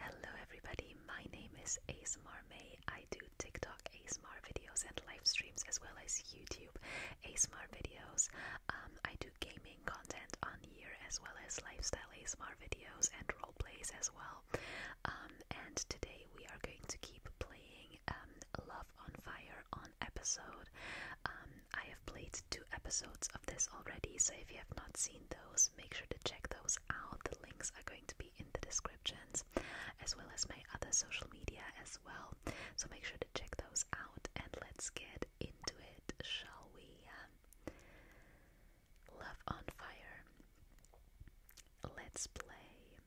Hello everybody, my name is ASMR May. I do TikTok ASMR videos and live streams as well as YouTube ASMR videos. Um, I do gaming content on here as well as lifestyle ASMR videos and role plays as well. Um, and today we are going to keep playing um, Love on Fire on episode I have played two episodes of this already, so if you have not seen those, make sure to check those out. The links are going to be in the descriptions, as well as my other social media as well. So make sure to check those out and let's get into it, shall we? Love on Fire. Let's play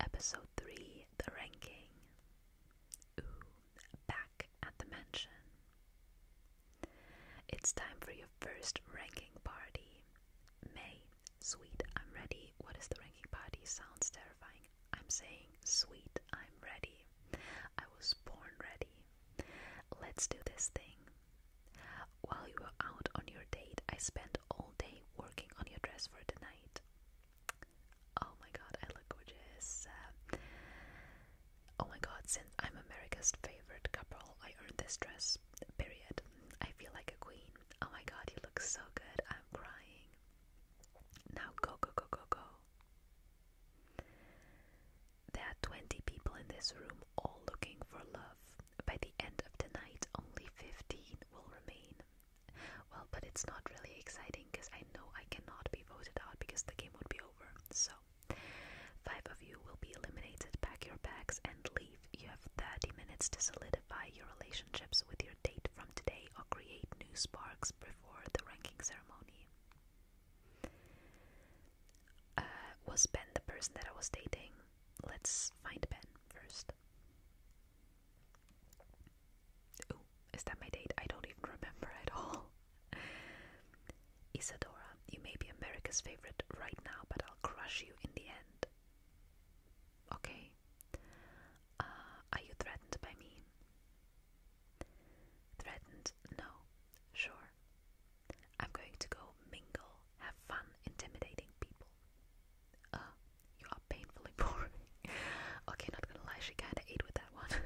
episode 3 The Ranking. Ooh, back at the mansion. It's time for your first ranking party. May, sweet, I'm ready. What is the ranking party? Sounds terrifying. I'm saying, sweet, I'm ready. I was born ready. Let's do this thing. While you were out on your date, I spent all day working on your dress for tonight. Oh my god, I look gorgeous. Oh my god, since I'm America's favorite couple, I earned this dress. Period. I feel like a queen. Oh my god, you look so good. I'm crying. Now go, go, go, go, go. There are 20 people in this room all looking for love. By the end of the night, only 15 will remain. Well, but it's not really exciting because I know I cannot be voted out because the game would be over. So, five of you will be eliminated. Pack your bags and leave. You have 30 minutes to solidify your relationships with your date from today or create new sparks before the ranking ceremony. Uh, was Ben the person that I was dating? Let's find Ben first. Is that my date? I don't even remember at all. Isadora, you may be America's favorite right now, but I'll crush you in the end. Okay. Uh, are you threatened by me? Threatened? No. Sure. I'm going to go mingle, have fun intimidating people. Uh, you are painfully poor. okay, not gonna lie, she kinda ate with that one.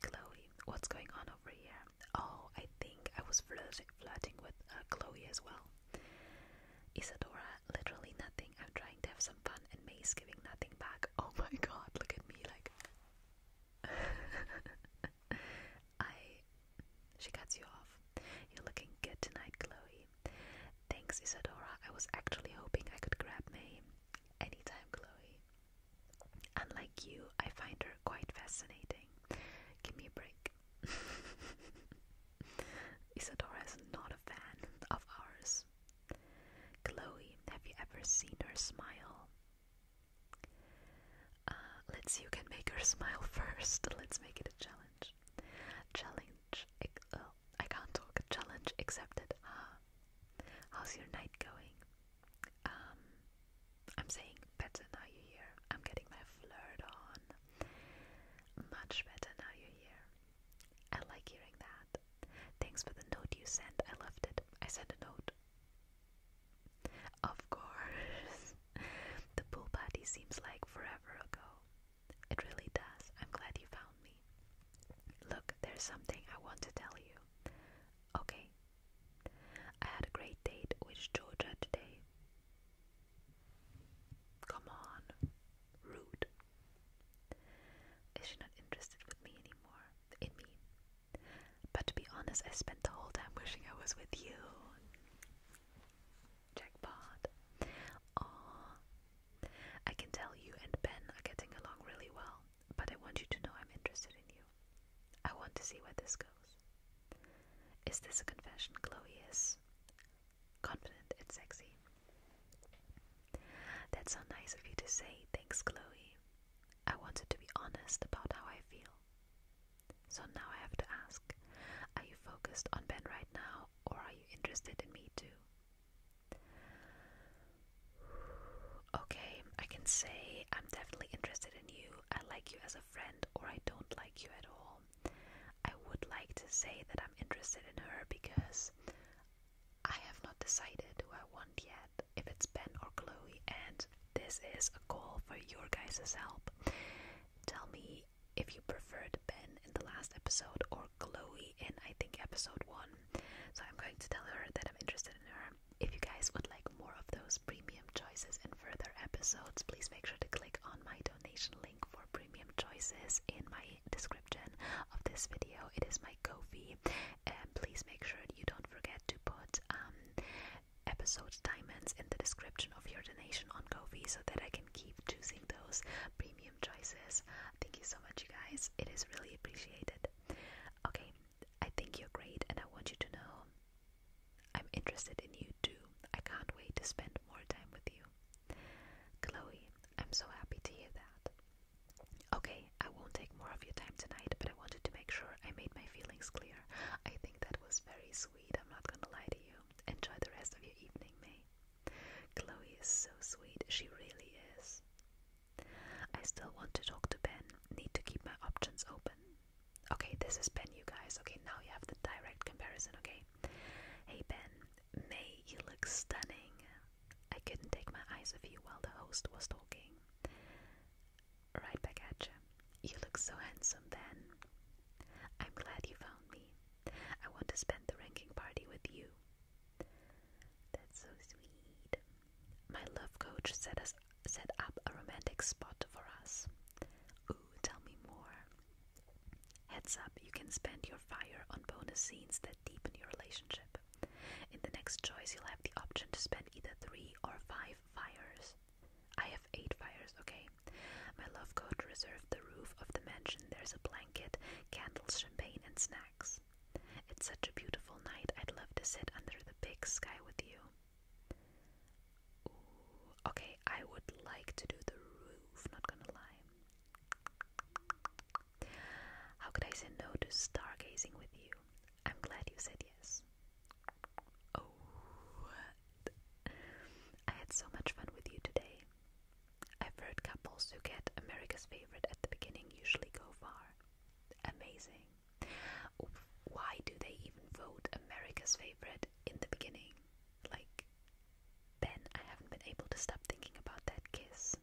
Chloe, what's going on over here? Oh, I think I was flirting, flirting with uh, Chloe as well. Isadora, literally nothing. I'm trying to have some fun, and Mae's giving nothing back. Oh my god, look at me like. I. She cuts you off. You're looking good tonight, Chloe. Thanks, Isadora. I was actually hoping I could grab Mae Anytime, Chloe. Unlike you, I find her quite fascinating. Give me a break. Isadora is not a fan of ours. Chloe, have you ever seen her smile? Uh, let's see who can make her smile first. Let's make it a challenge. Challenge. Uh, I can't talk. Challenge accepted. Ah. How's your night going? Um, I'm saying better now you're here. I'm getting my flirt on. Much better now you're here. I like hearing that. Thanks for the note you sent. I loved it. I sent a note. Of course. the pool party seems like forever ago. It really does. I'm glad you found me. Look, there's something I want to tell you. Okay. I had a great date with Georgia today. Come on. Rude. Is she not interested with me anymore? In me. But to be honest, I spent the whole time wishing I was with you. Jackpot. Aww. I can tell you and Ben are getting along really well but I want you to know I'm interested in you. I want to see where this goes. Is this a confession? Chloe is confident and sexy. That's so nice of you to say. Thanks, Chloe. I wanted to be honest about how I feel. So now I have to ask are you focused on Ben right now, or are you interested in me too? Okay, I can say I'm definitely interested in you. I like you as a friend, or I don't like you at all. I would like to say that I'm interested in her because I have not decided who I want yet, if it's Ben or Chloe, and this is a call for your guys' help. Tell me if you preferred Ben in the last episode or Chloe in, I think, episode one. So I'm going to tell her that I'm interested in her. If you guys would like more of those premium choices in further episodes, please make sure to click on my donation link for premium choices in my description of this video. It is my Ko-fi. Um, please make sure you don't forget to put um, episode diamonds in the description of your donation on Ko-fi so that I can keep choosing those premium choices. Thank you so much, you guys. It is really appreciated. Okay, I think you're great, and I want you to know I'm interested in you too. I can't wait to spend more time with you. Chloe, I'm so happy to hear that. Okay, I won't take more of your time tonight, but I wanted to make sure I made my feelings clear. I think that was very sweet, I'm not gonna lie to you. Enjoy the rest of your evening, May. Chloe is so sweet, she really is. I still want to talk to Ben. Need to keep my options open. Okay, this is Ben, you guys. Okay, now you have the direct comparison, okay? Hey Ben, May, you look stunning. I couldn't take my eyes off you while the host was talking. Right back at you. You look so handsome, Ben. I'm glad you found me. I want to spend the ranking party with you. That's so sweet. My love coach set us set up a romantic spot for us. Ooh, tell me more. Heads up, you can spend your fire on bonus scenes that deepen your relationship. In the next choice, you'll have the option to spend either three or five fires. I have eight fires, okay? My love coach reserved the roof of the mansion. There's a blanket, candles, champagne, and snacks. It's such a beautiful night. I'd love to sit under the big sky with you. okay, I would like to do the roof, not gonna lie. How could I say no to stargazing with you? I'm glad you said yes. Oh, I had so much fun with you today. I've heard couples who get America's favorite at the beginning usually go far. Amazing. Why do they even vote America's favorite in the beginning? Like, Ben, I haven't been able to stop thinking about that kiss.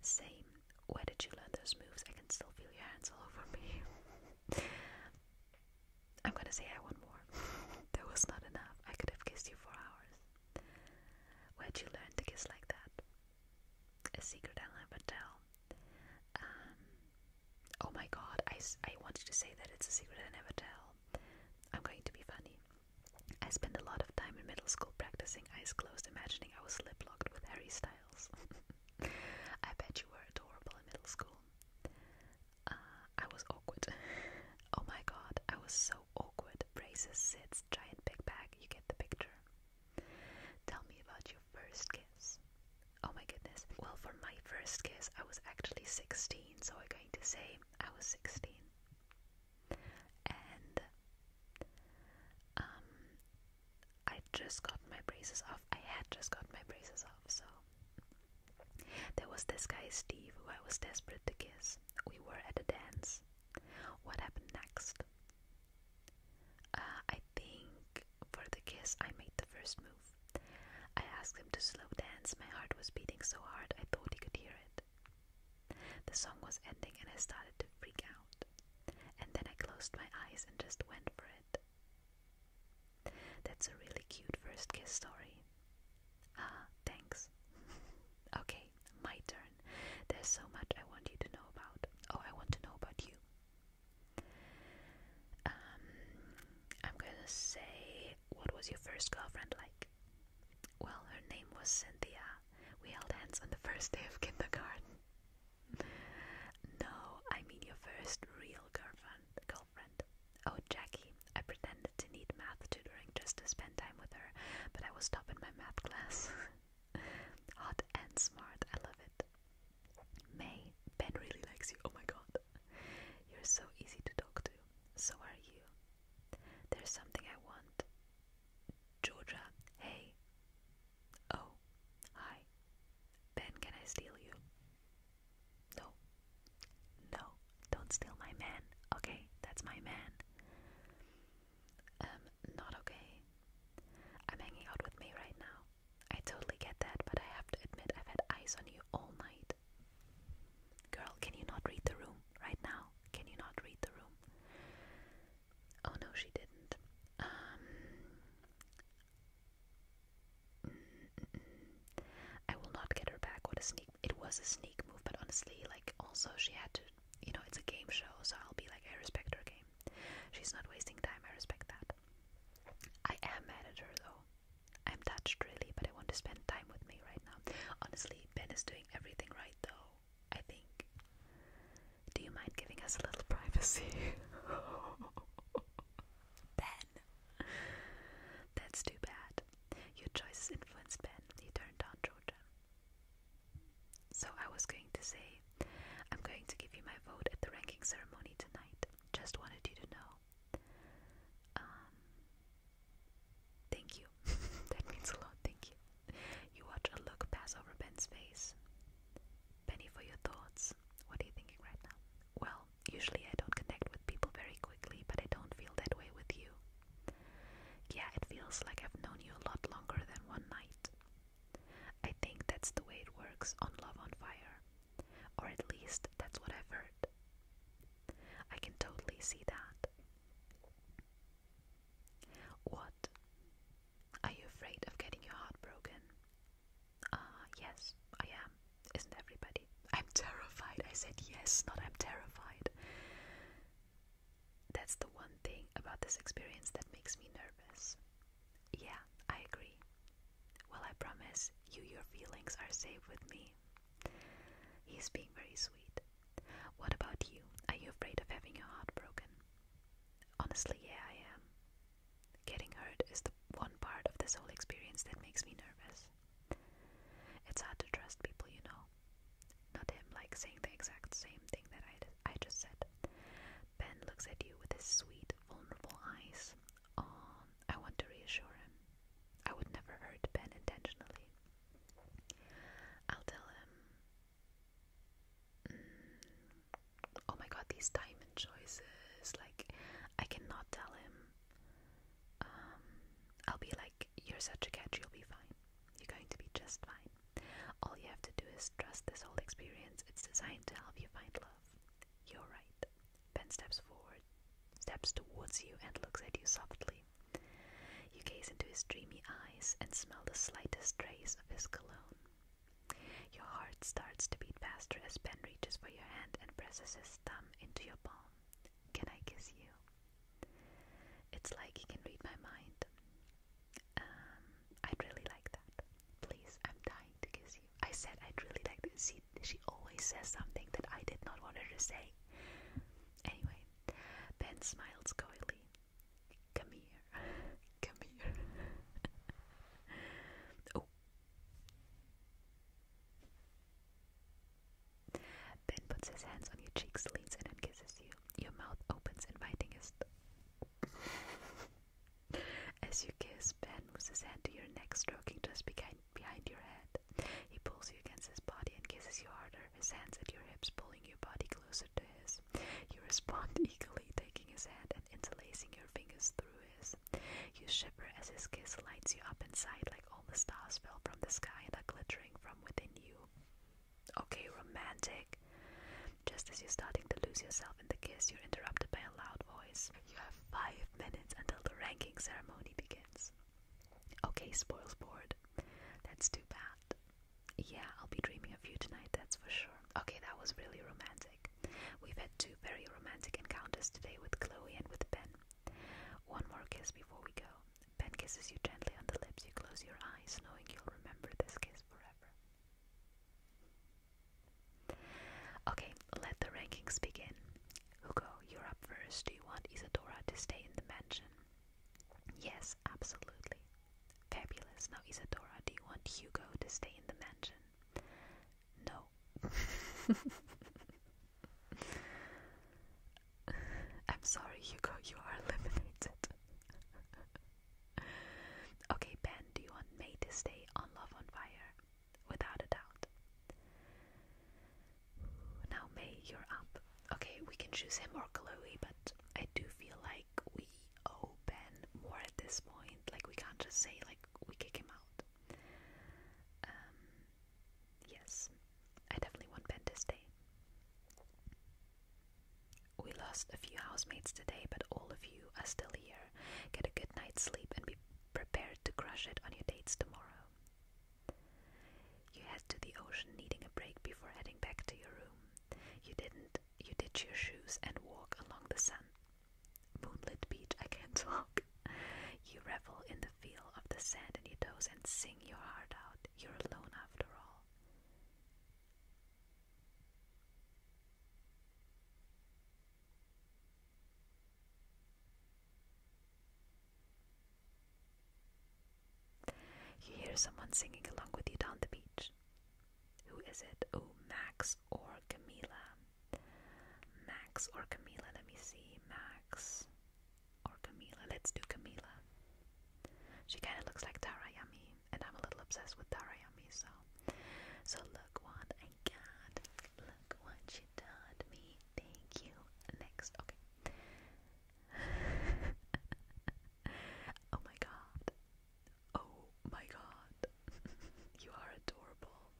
Same. Where did you learn those moves? I can still feel your hands all over me. I'm gonna say I want more. there was not enough. I could have kissed you for hours. Where'd you learn to kiss like that? a secret I'll never tell. Um, oh my god, I, I wanted to say that it's a secret I never tell. I'm going to be funny. I spent a lot of time in middle school practicing eyes closed, imagining I was lip locked with Harry Styles. I bet you were adorable in middle school. Uh, I was awkward. oh my god, I was so awkward. Braces, sits, giant big bag, you get the picture. Tell me about your first kiss. Oh my goodness. Well, for my first kiss, I was actually 16, so I'm going to say I was 16. And um, I just got my braces off. I had just got my braces off, so there was this guy, Steve, who I was desperate to kiss. We were at a dance. What happened next? Uh, I think for the kiss, I made the first move. I asked him to slow dance. My heart was beating so hard I thought he could hear it. The song was ending and I started to freak out. And then I closed my eyes and just went for it. That's a really cute first kiss story. Ah, thanks. okay, my turn. There's so much I want you to know about. Oh, I want to know about you. Um, I'm gonna say, what was your first girlfriend like? Well, her name was Cynthia. We held hands on the first day of kindergarten. no, I mean your first real girlfriend. Girlfriend. Oh, Jackie. I pretended to need math tutoring just to spend time with her, but I was stopping my math class. Hot and smart, I love it. May, Ben really likes you. Oh my god. You're so easy to talk to. So are you. There's something I want. Georgia, hey. Oh, hi. Ben, can I steal you? No. No, don't steal my man. Okay, that's my man. Um, not okay. I'm hanging out with me right now. I totally get that, but I have to admit I've had eyes on you all night. Girl, can you not read the room right now? Can you not read the room? Oh no, she didn't. Um, I will not get her back. What a sneak! It was a sneak move, but honestly, like also she had to you know, it's a game show, so I'll be like, I respect her game. She's not wasting time, I respect that. I am mad at her though. I'm touched really, but I want to spend time with me right now. Honestly, Ben is doing everything right though, I think. Do you mind giving us a little privacy? ben! That's too bad. Your choices influenced Ben. He turned down Georgia. So I was going to say, I'm going to give you my vote at the ranking ceremony tonight. Just wanted you to know. Um, thank you. that means a lot. Thank you. You watch a look pass over Ben's face. Penny, for your thoughts. What are you thinking right now? Well, usually I don't connect with people very quickly, but I don't feel that way with you. Yeah, it feels like I've known you a lot longer than one night. I think that's the way it works on Love on Fire. Or at least that's what I've heard. I can totally see that. What? Are you afraid of getting your heart broken? Ah, yes, I am. Isn't everybody? I'm terrified. I said yes, not I'm terrified. That's the one thing about this experience that makes me nervous. Yeah, I agree. Well, I promise you, your feelings are safe with me. He's being very sweet. What about you? Are you afraid of having your heart broken? Honestly, yeah, I am. Getting hurt is the one part of this whole experience that makes me nervous. It's hard to trust people, you know. Not him, like saying the exact same thing that I, I just said. Ben looks at you with his sweet, vulnerable eyes. Oh, I want to reassure him. I would never hurt Ben intentionally. I'll tell him. Mm, oh my god, these diamond choices. Like, I cannot tell him. Um, I'll be like, you're such a catch, you'll be fine. You're going to be just fine. All you have to do is trust this whole experience. It's designed to help you find love. You're right. Ben steps forward, steps towards you, and looks at you softly. You gaze into his dreamy eyes and smell the slightest trace of his cologne. Your heart starts to beat faster as Ben reaches for your hand and presses his thumb into your palm. Can I kiss you? It's like you can read my mind. Um, I'd really like that. Please, I'm dying to kiss you. I said I'd really like to see. she always says something that I did not want her to say. Anyway, Ben smiles coyly. Come here. Come here. oh. Ben puts his hands on your cheeks, leans in, and kisses you. Your mouth opens, inviting his. As you kiss, Ben moves his hand to your neck, stroking just behind, behind your head. He pulls you against his body and kisses you harder, his hands at your hips, pulling your body closer to his. You respond eagerly, taking his hand and interlacing your fingers through his. You shiver as his kiss lights you up inside, like all the stars fell from the sky and are glittering from within you. Okay, romantic. Just as you're starting to lose yourself in the kiss, you're interrupted by a loud voice. You have five minutes until the ranking ceremony begins. Okay, spoils board. That's too bad. Yeah, I'll be dreaming of you tonight, that's for sure. Okay, that was really romantic. We've had two very romantic encounters today with Chloe and with Ben. One more kiss before we go. Ben kisses you gently on the lips. You close your eyes, knowing you'll remember this kiss forever. Okay, let the rankings begin. Hugo, you're up first. Do you want Isadora to stay in the mansion? Yes, absolutely. Fabulous. Now, Isadora, do you want Hugo to stay in the mansion? No. I'm sorry, Hugo, you are eliminated. okay, Ben, do you want May to stay on Love on Fire? Without a doubt. Now, May, you're up. Okay, we can choose him or Chloe, but I do feel like we owe Ben more at this point. Like, we can't just say, like, we kick him out. Um, yes, I definitely want Ben to stay. We lost a few housemates today, but all of you are still here. Get a good night's sleep and be prepared to crush it on your dates tomorrow. You head to the ocean needing a break before heading back to your room. You didn't you ditch your shoes and walk along the sun. Moonlit beach, I can't talk. You revel in the feel of the sand in your toes and sing your heart out. You're alone after all. You hear someone singing along with you down the beach. Who is it? Oh, Max or Camila? Max or Camila? Let me see. Max. Or Camila. Let's do Camila. She kind of looks like Tarayami, and I'm a little obsessed with Tarayami, so. So look what I got. Look what she taught me. Thank you. Next. Okay. oh my god. Oh my god. you are adorable.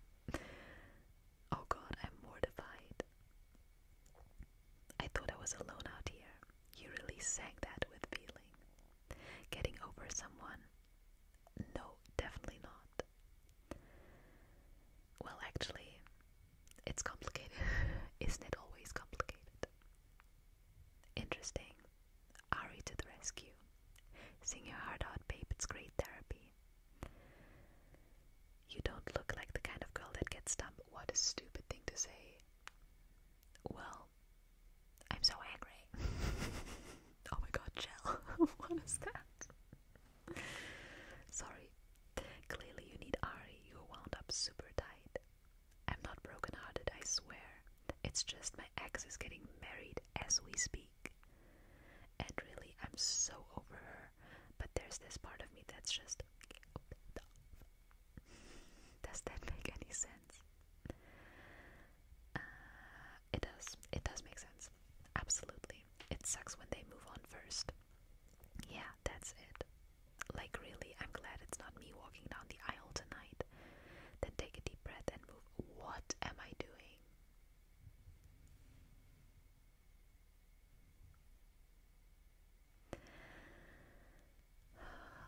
Oh god, I'm mortified. I thought I was alone out here. You really sang that with feeling. Getting over someone? No, definitely not. Well, actually, it's complicated. Isn't it always complicated? Interesting. Ari to the rescue. Sing your heart out, babe. It's great therapy. You don't look like the kind of girl that gets dumped. What a stupid thing to say. Well, I'm so angry. oh my god, gel. what is that? Sorry. Clearly, you need Ari. You're wound up super tight. I'm not broken I swear. It's just my ex is getting married as we speak. And really, I'm so over her. But there's this part of me that's just does that make any sense? Uh, it does. It does make sense. Absolutely. It sucks when they move on first. Yeah, that's it. Like, really, I'm glad it's not me walking down the aisle tonight. Then take a deep breath and move. What am I doing?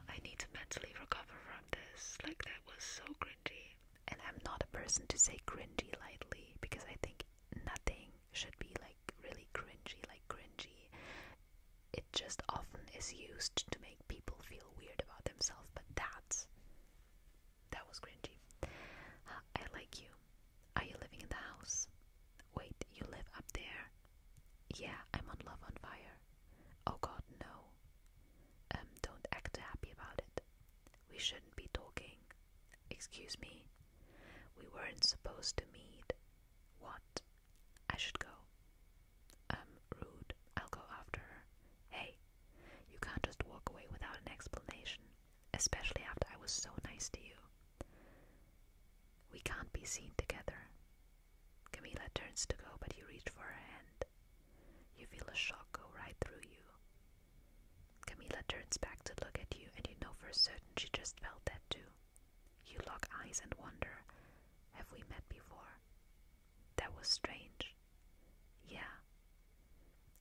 I need to mentally recover from this. Like, that was so cringy. And I'm not a person to say cringy lightly because I think nothing should be like really cringy, like cringy. It just often is used to make people feel weird about themselves, but that's that was cringy. I like you. Are you living in the house? Wait, you live up there? Yeah, I'm on Love on Fire. Oh god, no. Um, don't act happy about it. We shouldn't be talking. Excuse me. We weren't supposed to meet. What? I should go. Um, rude. I'll go after her. Hey, you can't just walk away without an explanation, especially after I was so nice to you. We can't be seen together. Camilla turns to go, but you reach for her hand. You feel a shock go right through you. Camilla turns back to look at you, and you know for certain she just felt that too. You lock eyes and wonder, have we met before? That was strange. Yeah.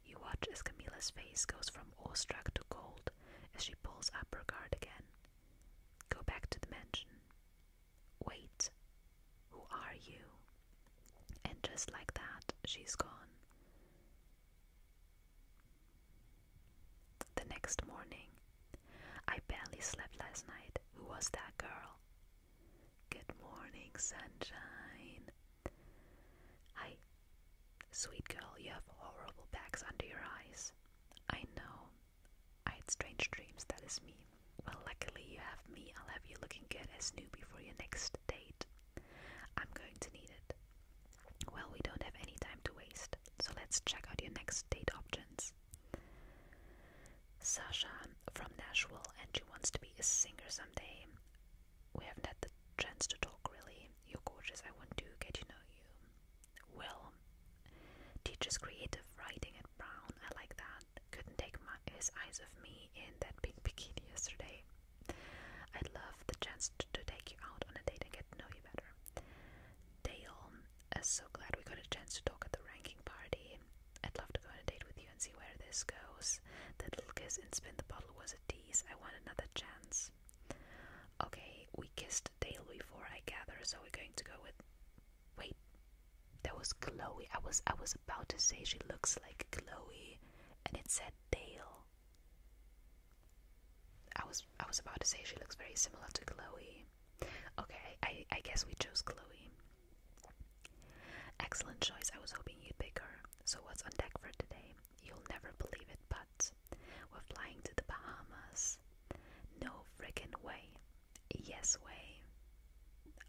You watch as Camilla's face goes from awestruck to cold as she pulls up her guard again Go back to the mansion. Wait, who are you? And just like that, she's gone. The next morning, I barely slept last night. Who was that girl? Good morning, sunshine. Hi, sweet girl, you have horrible bags under your eyes. I know, I had strange dreams, that is me. Well, luckily you have me. I'll have you looking good as new before your next date. I'm going to need it. Well, we don't have any time to waste, so let's check out your next date options. Sasha from Nashville, and she wants to be a singer someday. We haven't had the chance to talk really. You're gorgeous. I want to get to know you. Will teaches creative writing at Brown. I like that. Couldn't take his eyes off me in that pink bikini yesterday. I'd love the chance to, take you out on a date and get to know you better. Dale, I'm uh, so glad we got a chance to talk at the ranking party. I'd love to go on a date with you and see where this goes. That little kiss and spin the bottle was a tease. I want another chance. Okay, we kissed daily before I gather, so we're going to go with. Wait, that was Chloe. I was I was about to say she looks like Chloe, and it said Dale. I was I was about to say she looks very similar to Chloe. Okay, I I guess we chose Chloe. Excellent choice. I was hoping you'd pick her. So what's on deck for today? You'll never believe it, but we're flying to the Bahamas. No freaking way. Yes way.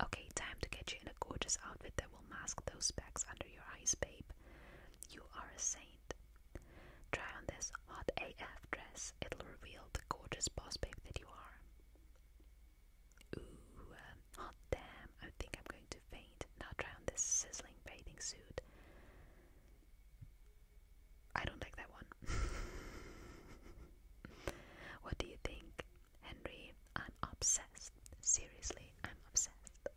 Okay, time to get you in a gorgeous outfit that will mask those specs under your eyes, babe. You are a saint. Try on this hot AF dress. It'll reveal the gorgeous boss babe that you are. Ooh, um, hot damn. I think I'm going to faint. Now try on this sizzling bathing suit. I don't like that one. what do you think, Henry? I'm obsessed. Seriously, I'm obsessed.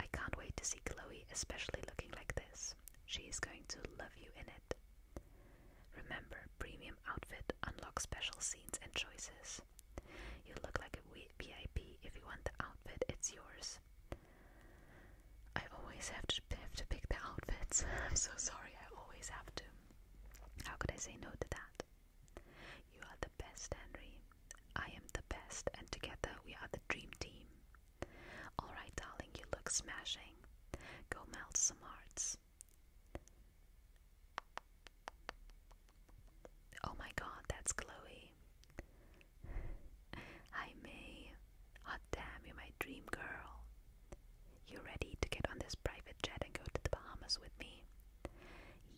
I can't wait to see Chloe, especially looking like this. She is going to love you in it. Remember, premium outfit unlocks special scenes and choices. You look like a VIP if you want the outfit, it's yours. I always have to have to pick the outfits. I'm so sorry. I always have to. How could I say no to that? You are the best, Henry. I am the best, and together we are the dream team. All right, darling, you look smashing. Go melt some hearts. Oh my god, that's Chloe. Hi May, hot damn, you're my dream girl. You ready to get on this private jet and go to the Bahamas with me?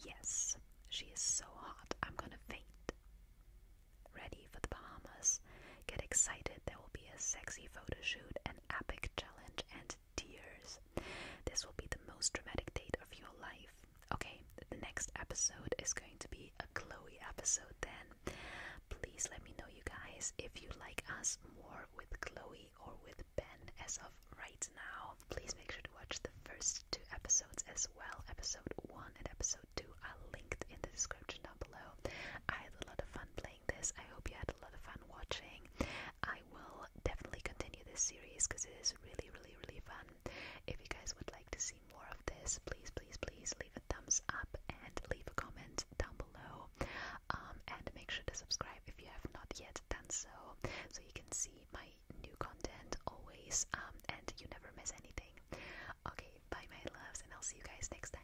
Yes, she is so hot, I'm gonna faint. Ready for the Bahamas? Get excited, there will be a sexy photo shoot, an epic challenge, and tears. This will be the most dramatic date of your life. Okay, the next episode is going to be a Chloe episode then. Please let me know, you guys, if you like us more with Chloe or with Ben as of right now. Please make sure to watch the first two episodes as well. Episode 1 and episode 2 are linked in the description down below. I had a lot of fun playing this. I hope you had a lot of fun watching. I will definitely continue this series because it is really, really, really fun. If you guys would like to see more of this, please, please, please leave a thumbs up and leave a comment down below. Um, and make sure to subscribe if you have not yet done so, so you can see my new content always um, and you never miss anything. Okay, bye, my loves, and I'll see you guys next time.